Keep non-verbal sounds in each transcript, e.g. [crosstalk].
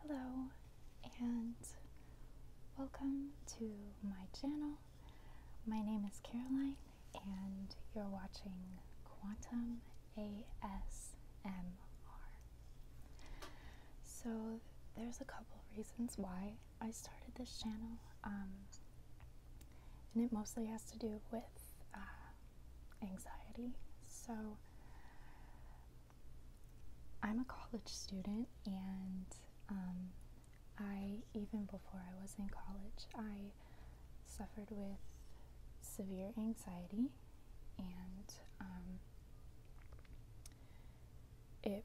Hello and welcome to my channel. My name is Caroline and you're watching Quantum ASMR. So there's a couple reasons why I started this channel um, and it mostly has to do with uh, anxiety. So I'm a college student, and um, I, even before I was in college, I suffered with severe anxiety, and um, it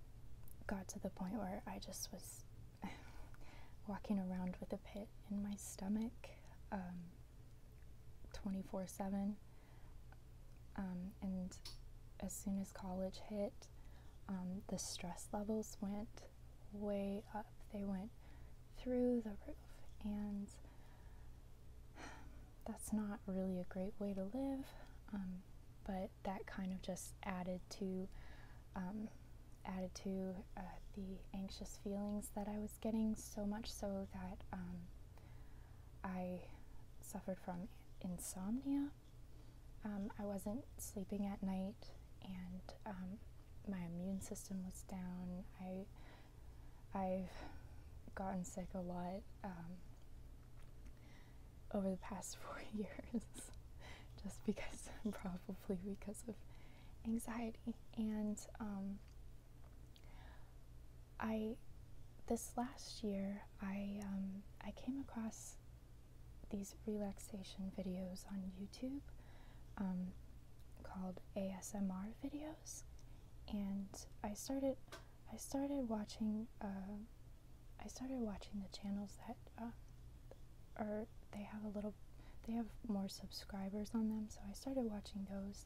got to the point where I just was [laughs] walking around with a pit in my stomach um, 24 7. Um, and as soon as college hit, um, the stress levels went way up. They went through the roof. And that's not really a great way to live, but that kind of just added to added to uh, the anxious feelings that I was getting, so much so that um, I suffered from insomnia. Um, I wasn't sleeping at night, and um, my immune system was down. I I've gotten sick a lot over the past [laughs] four [laughs] years, just because [laughs] probably because of anxiety. And um, I, this last year, I um, I came across these relaxation videos on YouTube um, called ASMR videos, and I started I started watching uh, I started watching the channels that uh, are they have a little, they have more subscribers on them. So I started watching those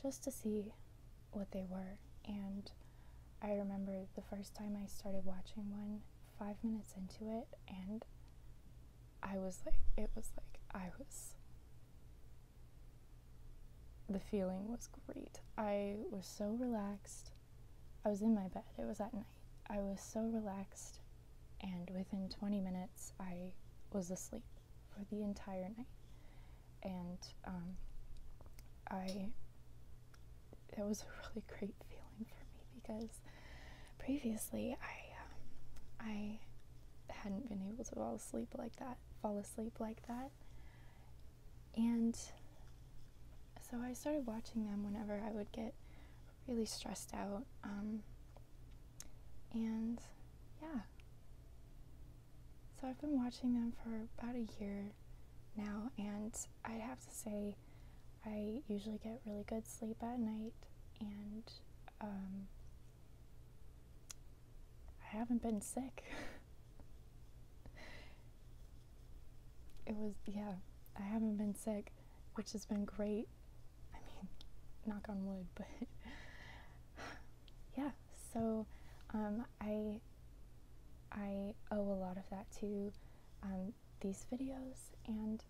just to see what they were. And I remember the first time I started watching one, five minutes into it, and I was like, it was like, I was. The feeling was great. I was so relaxed. I was in my bed. It was that night. I was so relaxed, and within 20 minutes, I was asleep for the entire night. And um, I, it was a really great feeling for me because previously I, um, I hadn't been able to fall asleep like that, fall asleep like that. And so I started watching them whenever I would get really stressed out. Um, and yeah. So I've been watching them for about a year now, and I have to say, I usually get really good sleep at night, and um, I haven't been sick. [laughs] it was, yeah, I haven't been sick, which has been great. I mean, knock on wood, but [laughs] yeah. So um, I I owe a lot of that to um, these videos, and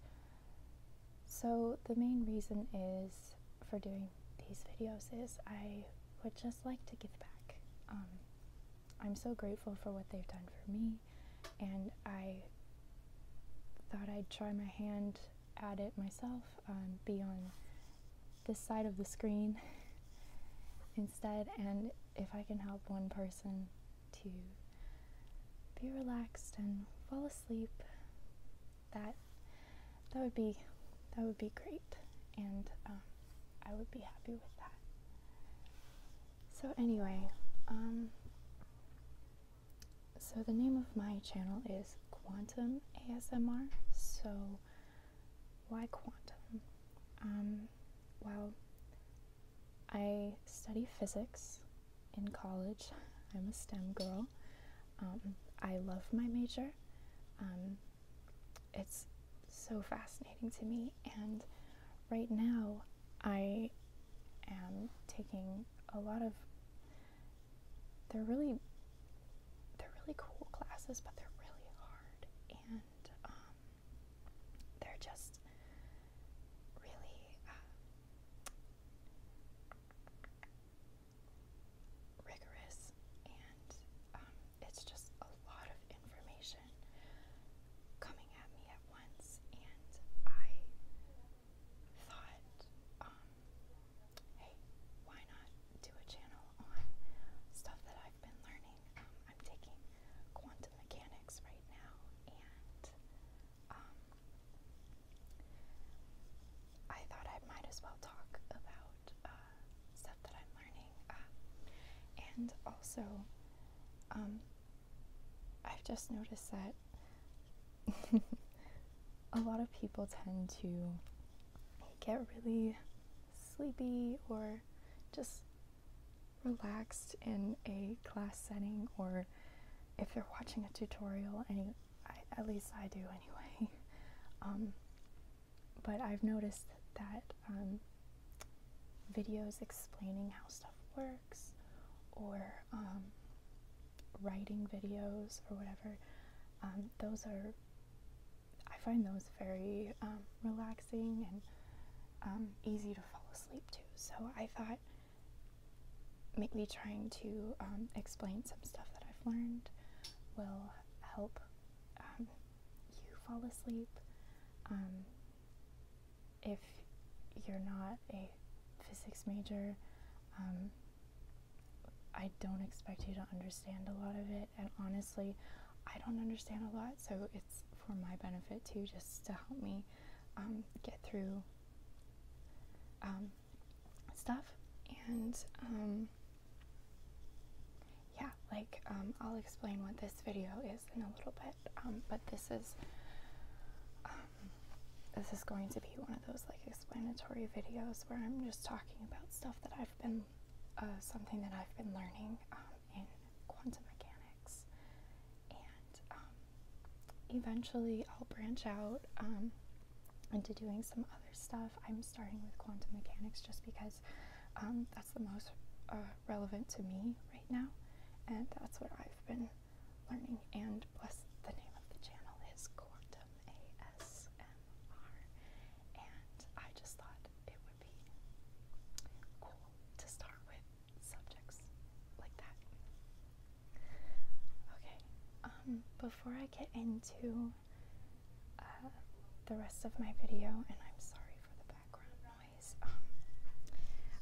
so the main reason is for doing these videos is I would just like to give back. Um, I'm so grateful for what they've done for me, and I thought I'd try my hand at it myself, um, be on this side of the screen [laughs] instead, and if I can help one person to be relaxed and fall asleep, that that would be that would be great, and um, I would be happy with that. So anyway, um, so, the name of my channel is Quantum ASMR. So, why quantum? Um, well, I study physics in college. [laughs] I'm a STEM girl. Um, I love my major. Um, it's so fascinating to me, and right now I am taking a lot of they're really they're really cool classes but they're really hard and um, they're just really uh, rigorous and um, it's just a lot of information coming at me at once and I thought, um, hey, why not do a channel on stuff that I've been learning? Um, I'm taking quantum mechanics right now, and um, I thought I might as well talk about uh, stuff that I'm learning, uh, and also, I've just noticed that [laughs] a lot of people tend to get really sleepy or just relaxed in a class setting or if they're watching a tutorial and at least I do anyway [laughs] um, but I've noticed that um, videos explaining how stuff works or um, writing videos or whatever, um, those are, I find those very um, relaxing and easy to fall asleep to. So I thought maybe trying to explain some stuff that I've learned will help you fall asleep if you're not a physics major, um, I don't expect you to understand a lot of it. And honestly, I don't understand a lot, so it's for my benefit too, just to help me um, get through um, stuff. And yeah, like I'll explain what this video is in a little bit, but this is this is going to be one of those like explanatory videos where I'm just talking about stuff that I've been uh, something that I've been learning um, in quantum mechanics, and um, eventually I'll branch out um, into doing some other stuff. I'm starting with quantum mechanics just because that's the most uh, relevant to me right now, and that's what I've been learning, and bless the name of the channel is Quantum ASMR. And I just thought it would be cool to start with subjects like that. Okay, um, before I get into uh, the rest of my video, and I'm sorry for the background noise. Um,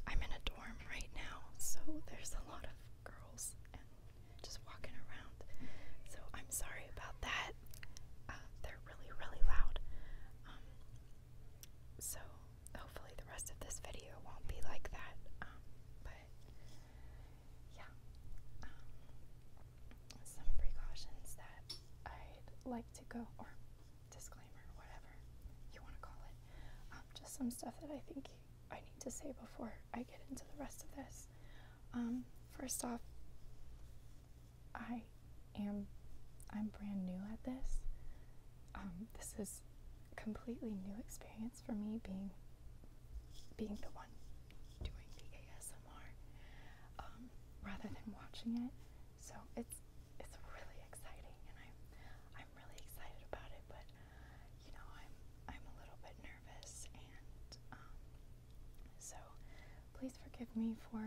I'm in a dorm right now, so there's a lot of girls and just walking around. So I'm sorry about that. Uh, they're really, really loud. Um, so hopefully the rest of this video won't be like that. Um, but yeah, some precautions that I'd like to go disclaimer, whatever you want to call it. Um, just some stuff that I think I need to say before I get into the rest of this. Um, first off, I am I'm brand new at this. Um, this is completely new experience for me being being the one doing the ASMR rather than watching it. So it's it's really exciting, and I'm I'm really excited about it. But you know, I'm I'm a little bit nervous, and um, so please forgive me for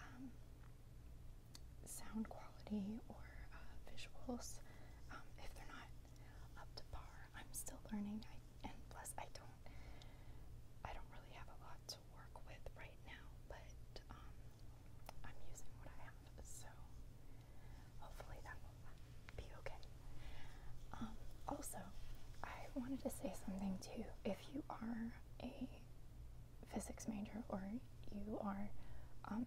um, sound quality or uh, visuals um, if they're not up to par. I'm still learning, and plus I don't I don't really have a lot to work with right now, but um, I'm using what I have, so hopefully that will be okay. Um, also, I wanted to say something too. If you are a physics major or you are um,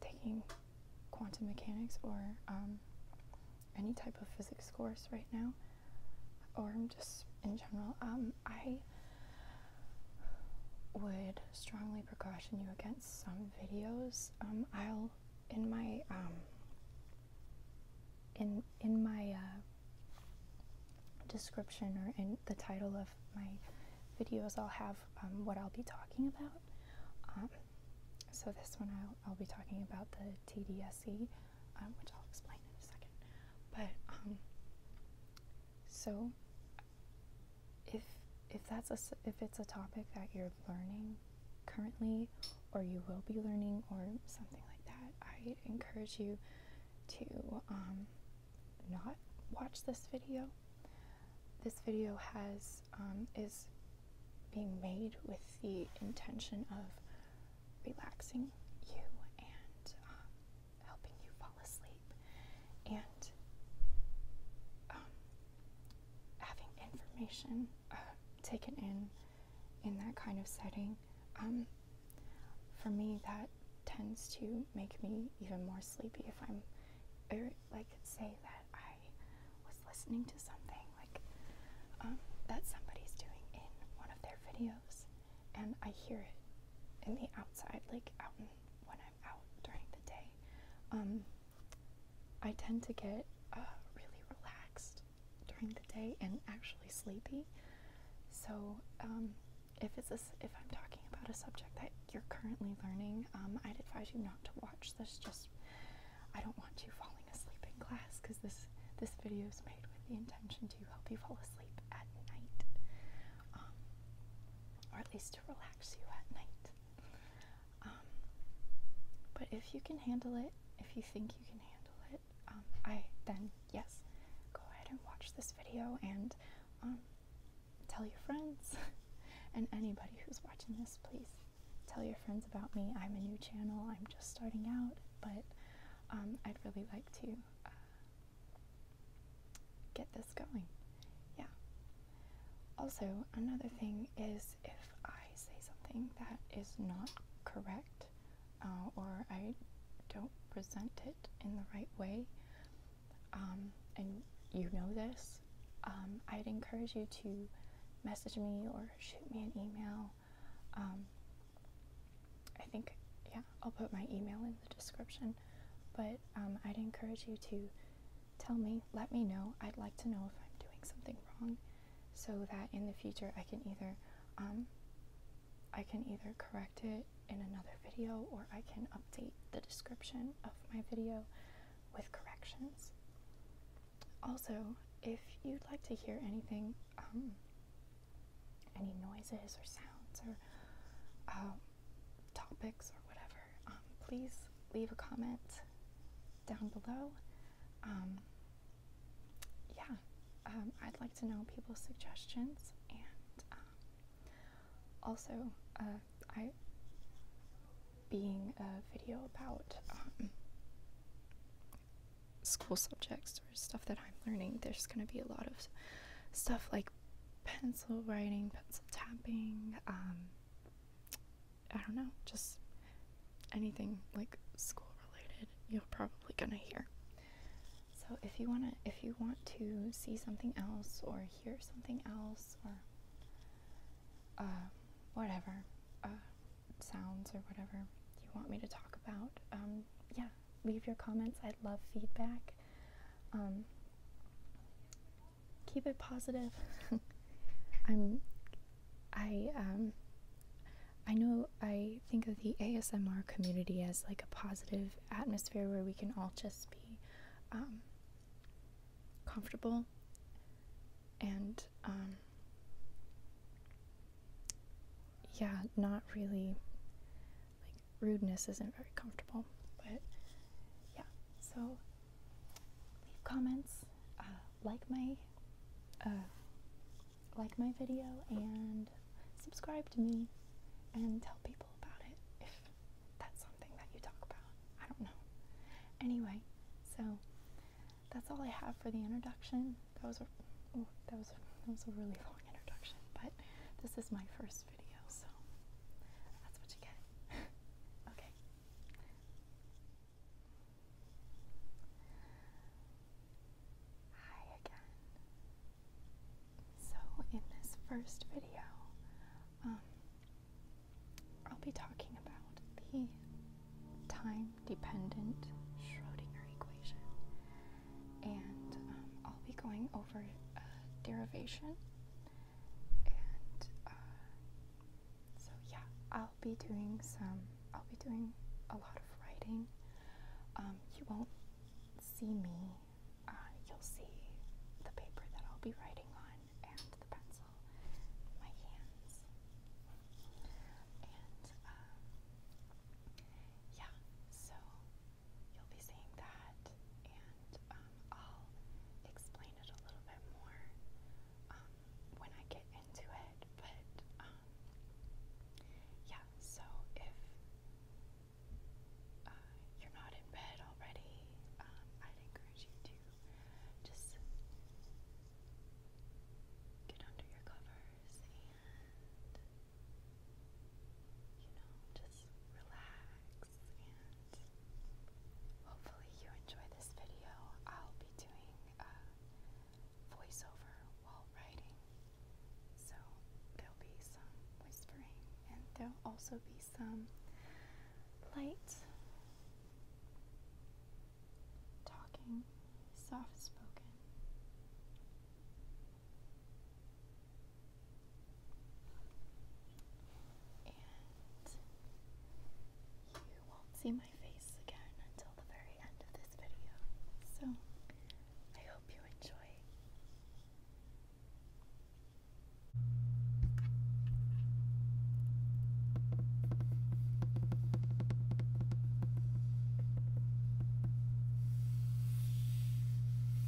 taking quantum mechanics or any type of physics course right now, or just in general, I would strongly caution you against some videos. Um, I'll in my um, in in my uh, description or in the title of my videos, I'll have um, what I'll be talking about. so this one I'll, I'll be talking about the TDSE, which I'll explain in a second. But so if if that's a if it's a topic that you're learning currently or you will be learning or something like that, I encourage you to um, not watch this video. This video has um, is being made with the intention of relaxing you and um, helping you fall asleep and um, having information uh, taken in in that kind of setting um, for me that tends to make me even more sleepy if i'm or er, like say that i was listening to something like um, that somebody's doing in one of their videos and i hear it in the outside like out in when I'm out during the day, um, I tend to get uh, really relaxed during the day and actually sleepy. So um, if it's if I'm talking about a subject that you're currently learning, um, I'd advise you not to watch this. Just I don't want you falling asleep in class because this this video is made with the intention to help you fall asleep at night or at least to relax you at night. Um, but if you can handle it, if you think you can handle it, um, I then yes, go ahead and watch this video and um, tell your friends [laughs] and anybody who's watching this, please tell your friends about me. I'm a new channel. I'm just starting out, but I'd really like to uh, get this going. Yeah. Also, another thing is if I say something that is not correct uh, or I don't present it in the right way, um, and you know this, um, I'd encourage you to message me or shoot me an email. Um, I think, yeah, I'll put my email in the description. But um, I'd encourage you to tell me, let me know. I'd like to know if I'm doing something wrong, so that in the future I can either, um, I can either correct it in another video or I can update the description of my video with corrections. Also, if you'd like to hear anything, um, any noises or sounds or topics or whatever, um, please leave a comment down below. Um, yeah, um, I'd like to know people's suggestions, and also uh, I being a video about school subjects or stuff that I'm learning. There's going to be a lot of stuff like pencil writing, pencil tapping, um, I don't know, just anything like school related, you're probably gonna hear. So if you wanna, if you want to see something else or hear something else or um, whatever uh, sounds or whatever you want me to talk about, um, yeah, leave your comments. i love feedback. Um, keep it positive. [laughs] I'm, I, um, I know I think of the ASMR community as like a positive atmosphere where we can all just be um, comfortable and um, yeah, not really rudeness isn't very comfortable. But yeah, so leave comments, uh, like my uh, like my video, and subscribe to me, and tell people about it if that's something that you talk about. I don't know. Anyway, so that's all I have for the introduction. That was that was a, that was a really long introduction, but this is my first so that's what you get. [laughs] okay. Hi again. So, in this first video, um, I'll be talking about the time dependent Schrodinger equation and um, I'll be going over uh, derivation. And uh, so yeah, I'll be doing some. I'll be doing a lot of writing. Um, you won't see me. Uh, you'll see the paper that I'll be writing on and the pencil, my hands, and um, yeah. So you'll be seeing that, and um, I'll explain it a little bit more um, when I get into it. But um, yeah, so if uh, you're not in bed already, um, I'd encourage you to just get under your covers and you know, just relax and hopefully you enjoy this video. I'll be doing voiceover while writing, so there'll be some whispering and there'll also be some light talking, soft spoken you won't see my face again until the very end of this video. So I hope you enjoy.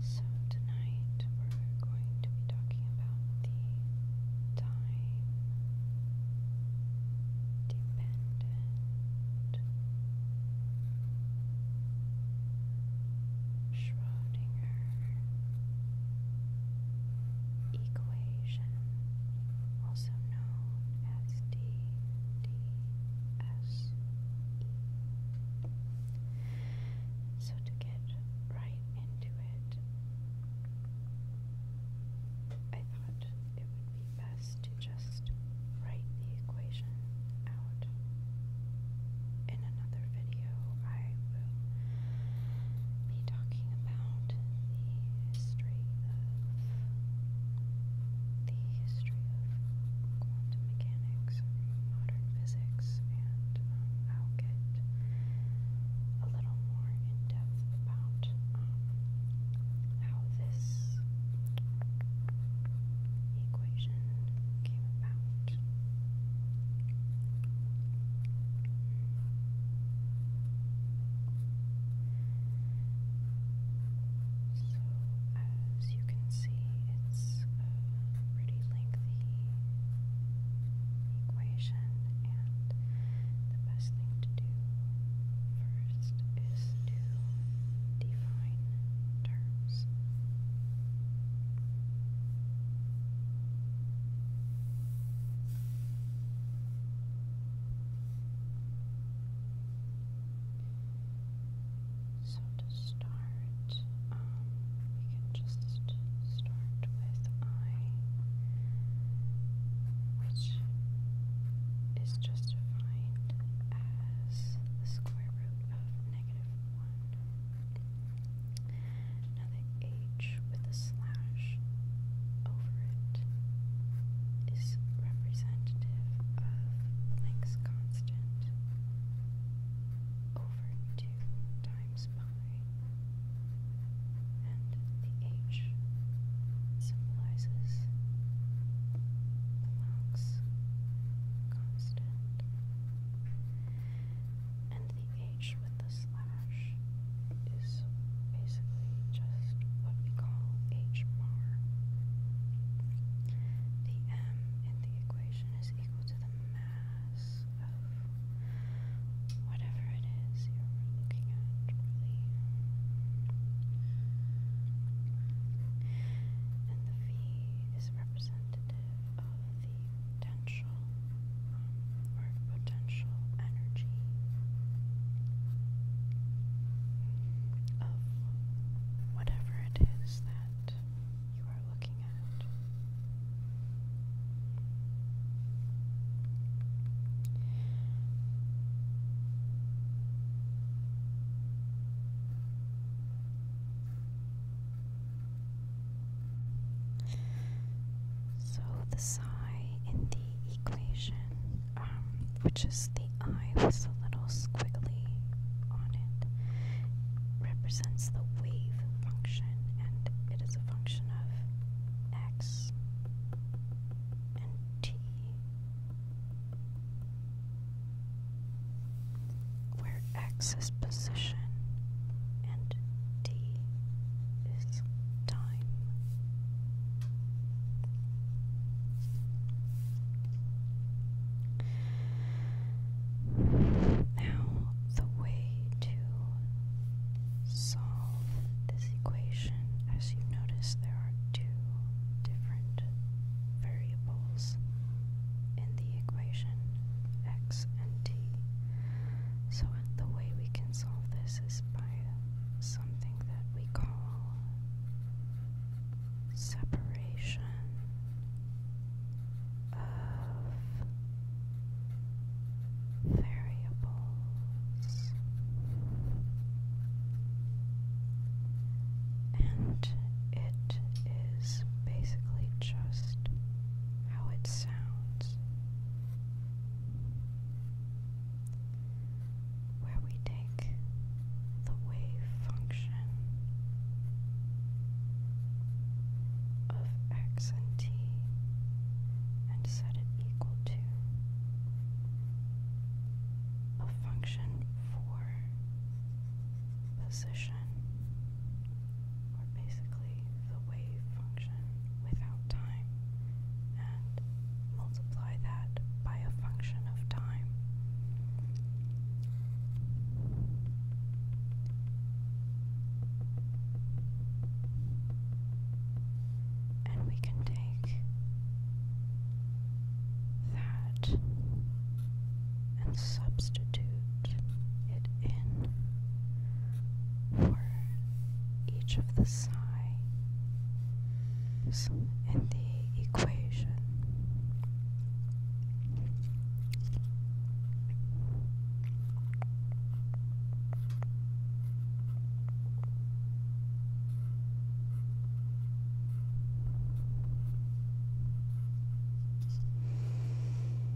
So, tonight we're going to be talking about the time dependent Schrodinger equation also known as DDSE. So, to get right into it, I thought it would be best to just write the equation out in another video video, I will be talking about the history of the history of quantum mechanics, modern physics, and um, I'll get a little more in depth about um, how this equation came about as you can see, it's a pretty lengthy equation, and the best thing to do first is to define terms. So to start, um, we can just start with I, which is just defined as the square root of negative 1 Another H with a slash over it is representative of Planck's constant over 2 times pi, and the H symbolizes Planck's constant, and the H with the slash is basically just what we call H bar. The M in the equation is equal to the mass of whatever it is you're looking at, really. And the V is representative of the potential or potential energy of whatever it is that you are looking at. So the psi in the equation, um, which is the i with a little squiggly on it, represents the wave function, and it is a function of x and t, where x is position, and T is time. Now, the way to solve this equation, as you notice, there are two different variables in the equation, x and t. So, the way we can solve this is by something that we call separation of variables. And it is basically just how it sounds where we take the wave function of x and t and set it equal to a function for position or basically the wave function without time, and multiply that by a function of time. And we can take that and substitute it in for each of the sides in the equation.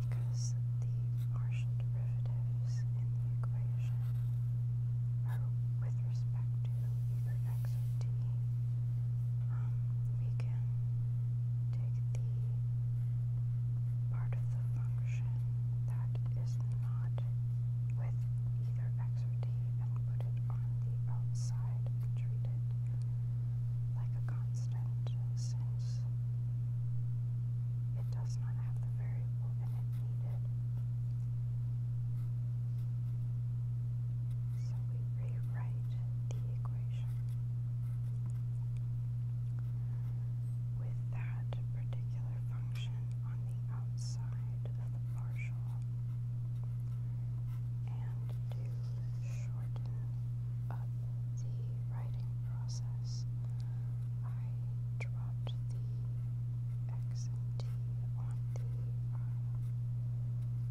Because the partial derivatives in the equation are with respect to either x or t, um, we can take the part of the function that is not with either x or t and put it on the outside tried and treated like a constant since it does not have the variable it needed. So we rewrite the equation. With that particular function on the outside of the partial, and to shorten up the writing process, I dropped the X and the uh,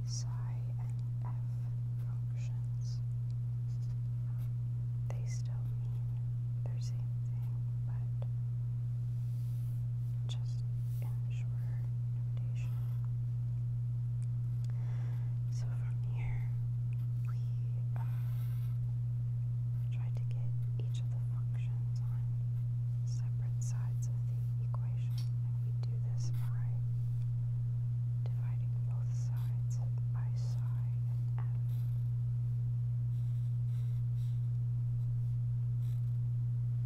psi and F functions. they still mean their same thing, but just in notation. So from here, we uh, to get each of the functions on separate sides of the equation, and we do this right, dividing both sides by psi and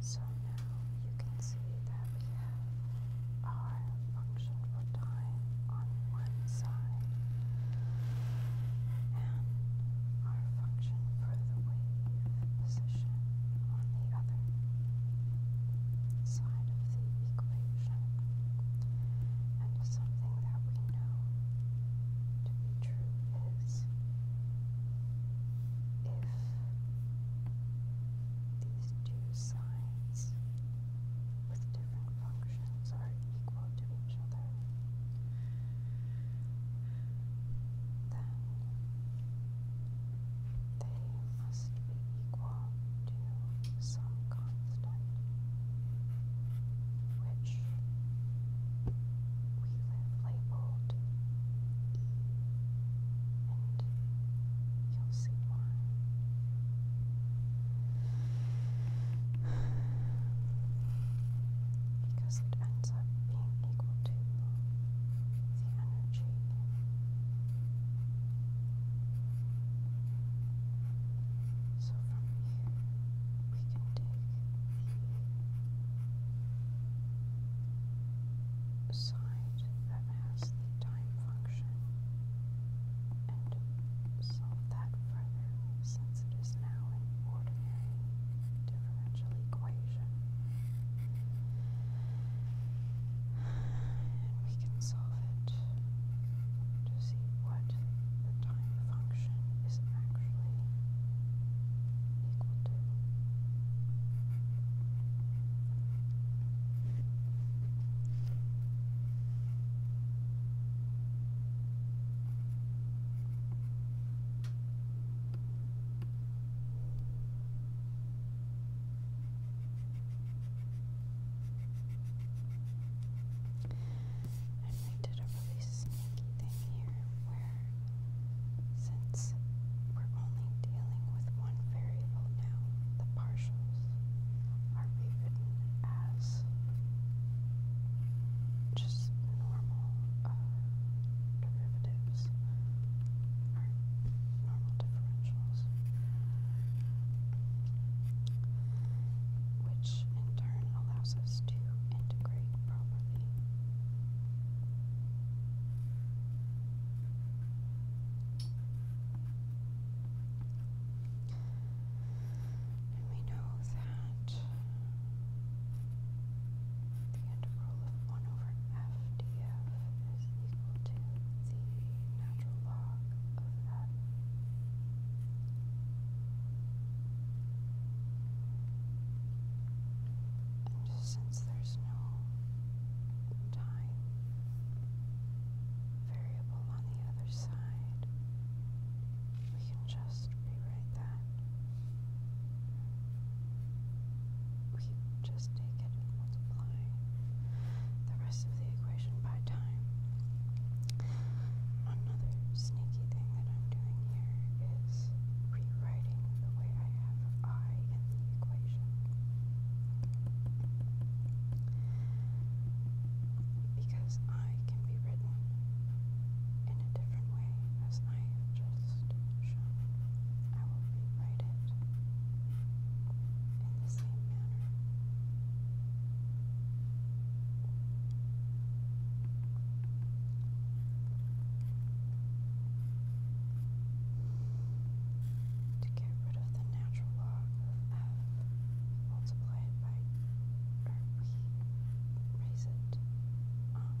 So now you can see that we have our function for time on one side and our function for the wave position on the other side of the equation. And something that we know to be true if these two sides with different functions are equal to each other, then they must be equal to some constant which we have labeled E, and you'll see why. Because it ends up being equal to the energy. So from here, the side that has the time function and solve that further since it is now an ordinary differential equation. And we can solve it to see what the time function is actually equal to. And I did a really sneaky thing here where, since we're only dealing with one variable now, the partials are rewritten as just normal uh, derivatives or normal differentials, which in turn allows us to to integrate properly. And we know that the integral of 1 over f df is equal to the natural log of f. Since there's no time variable on the other side, we can just rewrite that. We just take it and multiply the rest of the equation by time. Another sneaky thing that I'm doing here is rewriting the way I have I in the equation. Because I can be written in a different way, as I have just shown, I will rewrite it in the same manner. To get rid of the natural log of f multiplied by or raise it um,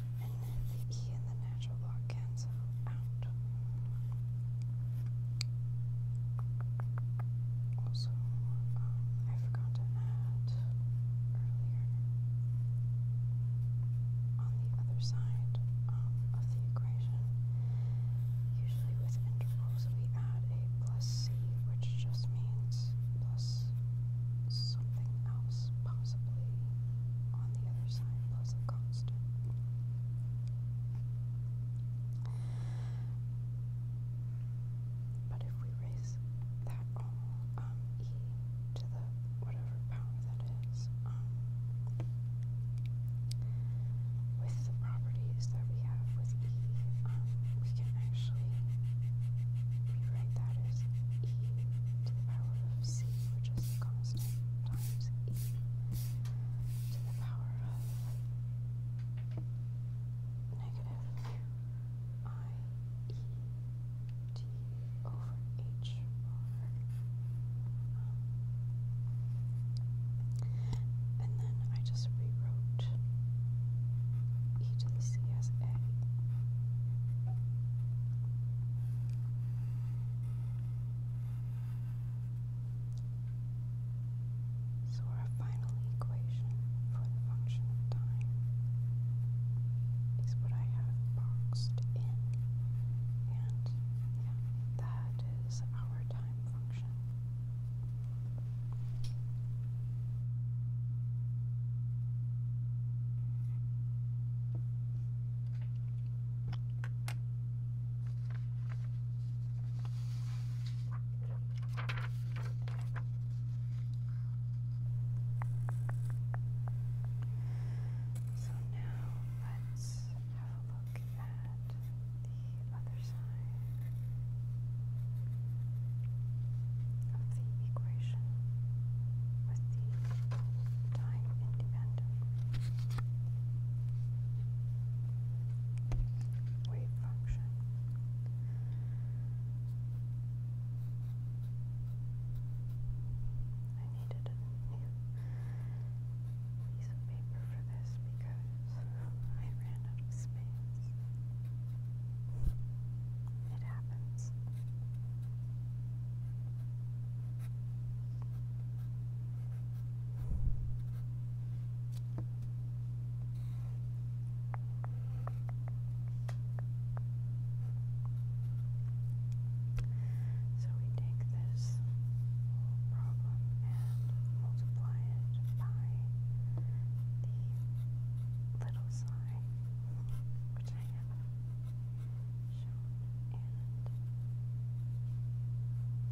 and then the E and the natural log cancel out. Also, um, I forgot to add earlier on the other side um, of the equation, usually with intervals, we add a plus C, which just means plus something else, possibly on the other side, was a constant. But if we raise that all, um, e to the whatever power that is, um, with the properties that we have with e, um, we can actually rewrite that as e to the power of c, which is a constant times e to the power of negative i e t over h r. and then I just rewrote e to the c s a. So our final equation for the function of time is what I have boxed in. And yeah, that is our time function. So now let's have a look at the other side of the equation celebration with the time independent. Wave I needed a new piece of paper for this because I ran out of space. It happens. So we take this whole problem and multiply it by the little sign, which I have shown,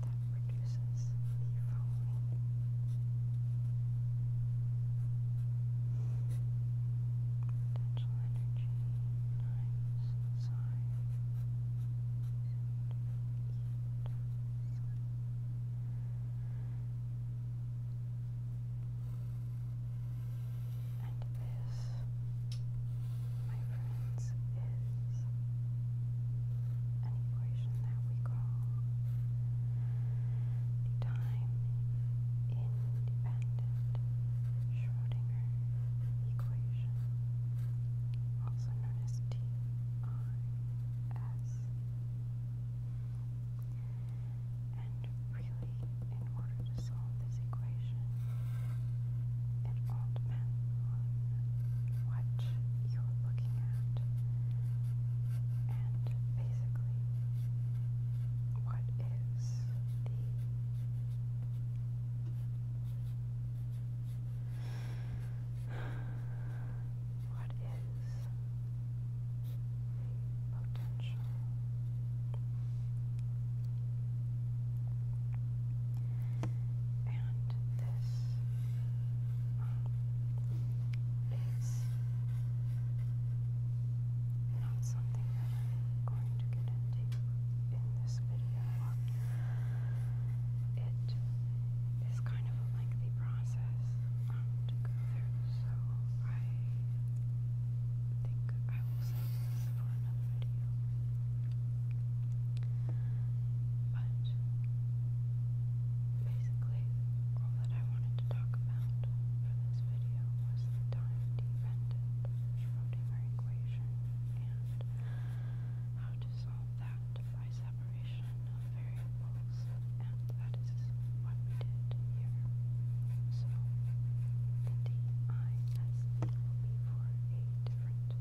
and that produces the following. Potential energy, nine psi, and and this, my friends, is an equation that we call the time-independent Schrodinger equation, also known as TIS. And really, in order to solve this equation, it all depends on what you're looking at and basically what is the what is the potential. And this is not something that I'm going to get into in this video. It is kind of a lengthy process um, to go through, so I think I ourselves for But basically, all that I wanted to talk about for this video was time dependent Schrodinger equation and how to solve that by separation of variables, and that is what we it here. So the D I S E will be for a different. And as I've written, that was the end of the derivation.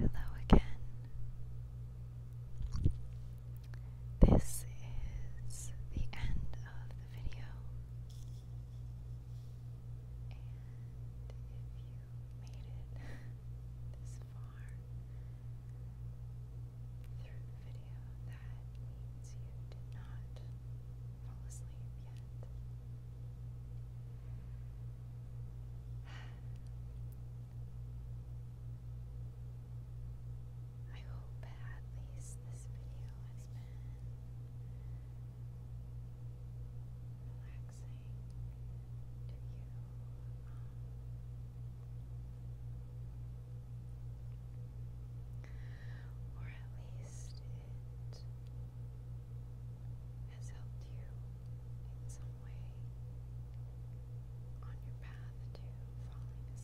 Hello again. This is the end of the video. And if you made it this far through the video, that means you did not fall asleep yet. I hope at least this video has been relaxing to you. or at least it has helped you in some way on your path to falling asleep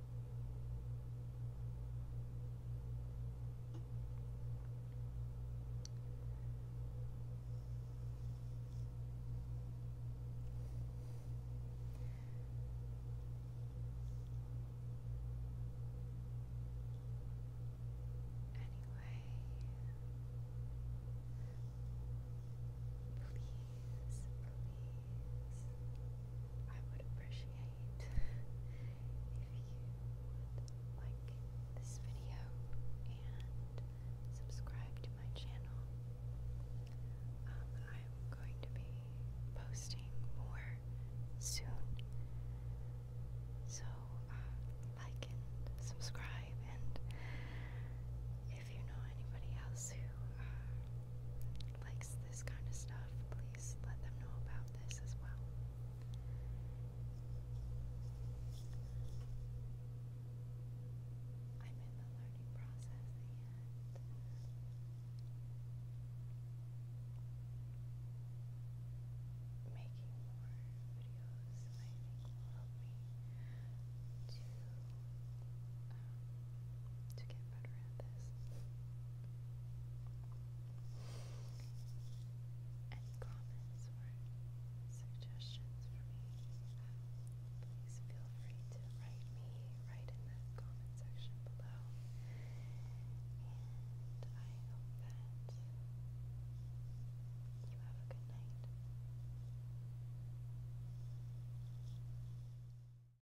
Anyway, please, please. I would appreciate if you like this video and subscribe to my channel. I'm um, going to be posting more soon. So, uh, like and subscribe, and if you know anybody else who uh, likes this kind of stuff, please let them know about this as well. I'm in the learning process and making more videos I think me to um, to get better at this. Any comments or suggestions for me, please feel free to write me right in the comment section below. And I hope that you have a good night.